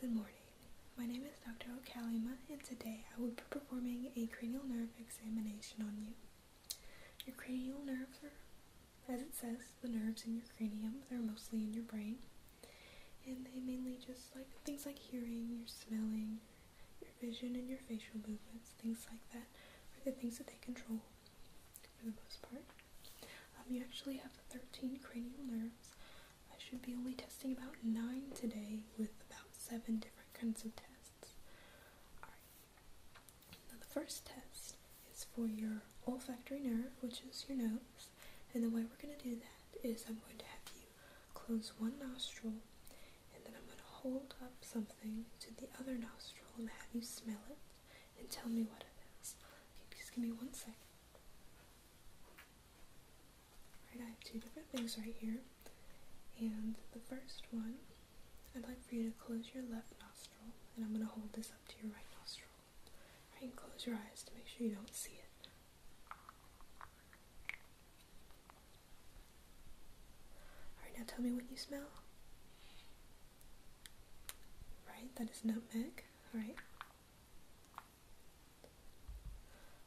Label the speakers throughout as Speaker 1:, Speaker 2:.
Speaker 1: Good morning. My name is Dr. Okalima, and today I will be performing a cranial nerve examination on you. Your cranial nerves are, as it says, the nerves in your cranium. They're mostly in your brain, and they mainly just like things like hearing, your smelling, your vision, and your facial movements. Things like that are the things that they control for the most part. Um, you actually have 13 cranial nerves. I should be only testing about nine today with about seven different kinds of tests. Alright, now the first test is for your olfactory nerve, which is your nose. And the way we're going to do that is I'm going to have you close one nostril and then I'm going to hold up something to the other nostril and have you smell it and tell me what it is. Can you just give me one second. Right, I have two different things right here. And the first one, I'd like for you to close your left nostril, and I'm going to hold this up to your right nostril. Right, and close your eyes to make sure you don't see it. Alright, now tell me what you smell. Right, that is nutmeg. Alright.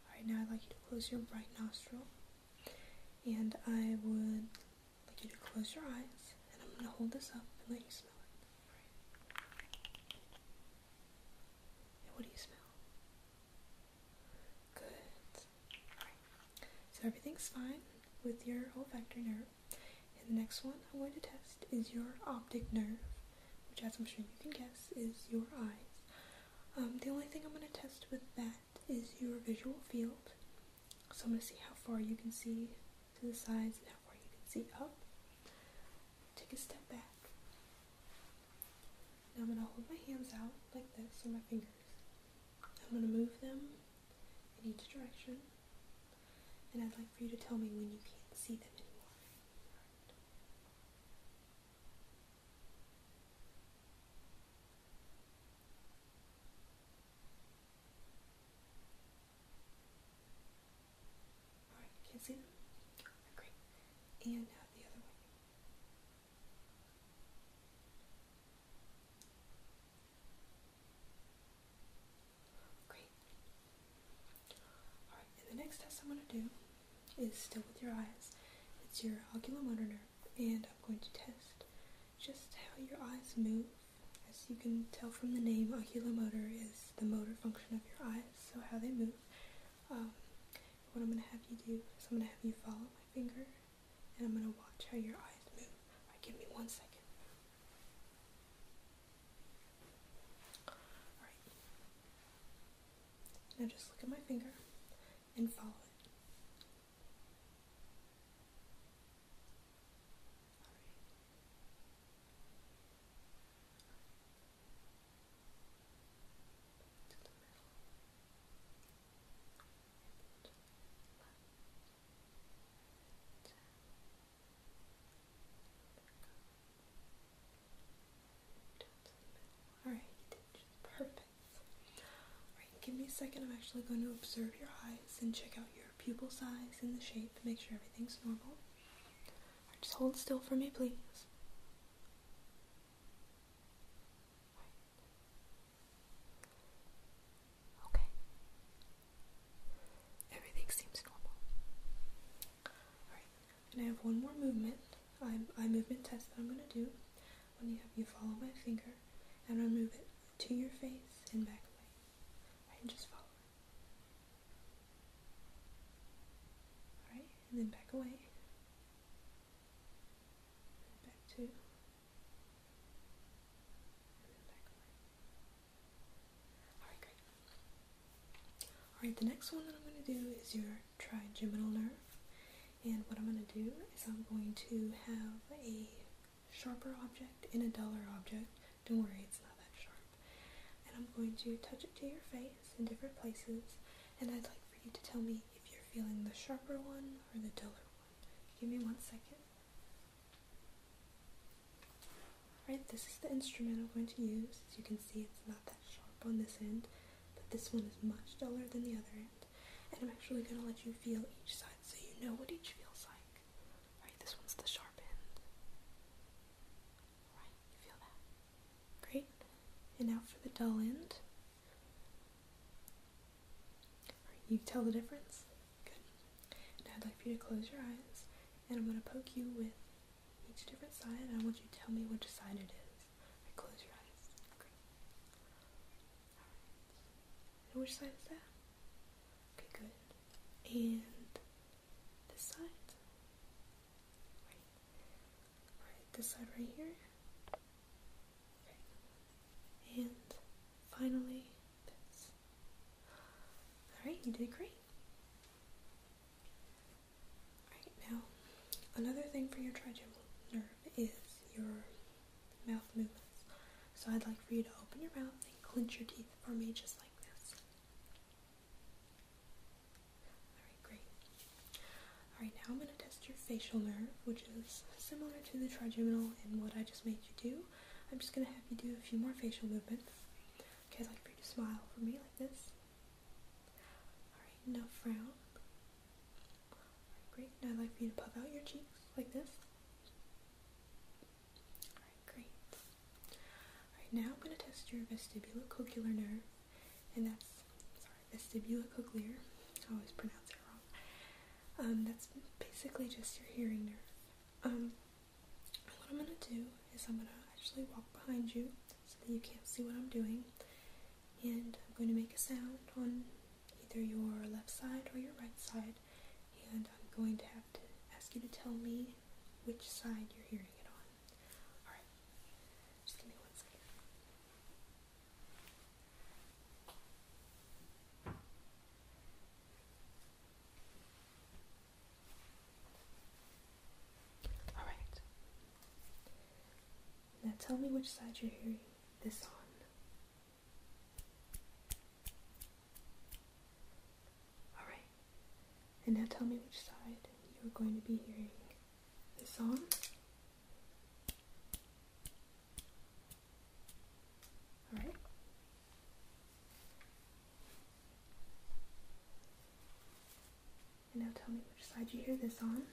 Speaker 1: Alright, now I'd like you to close your right nostril. And I would like you to close your eyes. And I'm going to hold this up and let you smell it. what do you smell? Good. So everything's fine with your olfactory nerve. And the next one I'm going to test is your optic nerve, which, as I'm sure you can guess, is your eyes. Um, the only thing I'm going to test with that is your visual field. So I'm going to see how far you can see to the sides and how far you can see up. Take a step back. Now I'm going to hold my hands out like this, or my fingers. I'm going to move them in each direction. And I'd like for you to tell me when you can't see them anymore. All right, can't see them? Great. And uh, the other way. Great. Alright, the next test I'm going to do is still with your eyes. It's your ocular motor, and I'm going to test just how your eyes move. As you can tell from the name, ocular motor is the motor function of your eyes, so how they move. Um, what I'm going to have you do is I'm going to have you follow my finger and I'm gonna watch how your eyes move. give me one second. Alright. Now just look at my finger and follow it. Alright, just Alright, give me a second. I'm actually going to observe your eyes and check out your pupil size and the shape, make sure everything's normal. just hold still for me, please. Okay. Everything seems normal. Alright, and I have one more movement, eye movement test that I'm going to do. When you have you follow my finger and I move it to your face and back away. Right, and just follow it. and then back away. Back to Alright, the next one that I'm going to do is your trigeminal nerve. And what I'm going to do is I'm going to have a sharper object in a duller object. Don't worry, it's not that sharp. And I'm going to touch it to your face in different places. And I'd like for you to tell me if you're feeling the sharper one or the duller one. Give me one second. Alright, this is the instrument I'm going to use. As you can see, it's not that sharp on this end, but this one is much duller than the other end. And I'm actually going to let you feel each side so you know what each feels like. Alright, this one's the sharp end. Alright, you feel that? Great. And now for the dull end. You tell the difference? Good. I'd like for you to close your eyes and I'm going to poke you with each different side and I want you to tell me which side it is. Right, close your eyes. Great. which side is that? Okay, good. And this side? Right. this side right here? And finally, Alright, you did great. now, another thing for your trigeminal nerve is your mouth movements. So I'd like for you to open your mouth and clench your teeth for me just like this. Alright, great. Alright, now I'm going to test your facial nerve, which is similar to the trigeminal In what I just made you do. I'm just going to have you do a few more facial movements. Okay, I'd like for you to smile for me like this. Alright, no frown. great. Now I'd like for you to puff out your cheeks like this. Alright, great. Alright, now I'm going to test your vestibular cochlear nerve, and that's, vestibulocochlear. I always pronounce it wrong. Um, that's basically just your hearing nerve. Um, what I'm gonna do is I'm gonna actually walk behind you so that you can't see what I'm doing, and I'm going to make a sound on either your left side or your right side, and I'm going to have to ask you to tell me which side you're hearing it on. Alright. Just give me one second. Alright. Now tell me which side you're hearing this on. Alright. And now tell me which side you are going to be hearing this on. Alright. And now tell me which side you hear this on.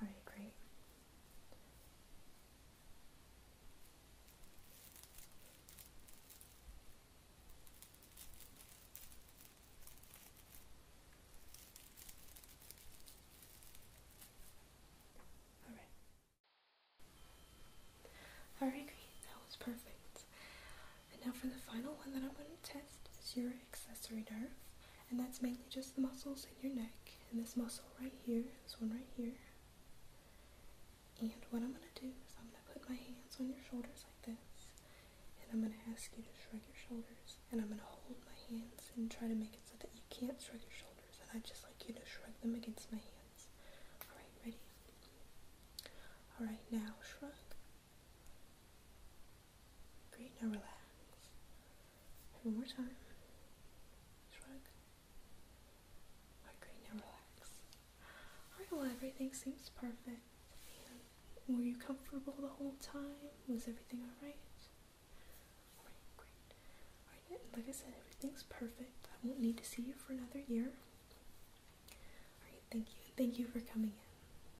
Speaker 1: Alright, great. All right. All right, That was perfect. And now for the final one that I'm going to test is your accessory nerve and that's mainly just the muscles in your neck and this muscle right here, this one right here. And what I'm going to do is I'm going to put my hands on your shoulders like this, and I'm going to ask you to shrug your shoulders, and I'm going to hold my hands and try to make it so that you can't shrug your shoulders, and I'd just like you to shrug them against my hands. Alright, ready? Alright, now shrug. Great, now relax. one more time. Shrug. Alright, great, now relax. Alright, well, everything seems perfect. were you comfortable the whole time? Was everything alright? Alright, great. Alright, like I said, everything's perfect. I won't need to see you for another year. Alright, thank you. Thank you for coming in.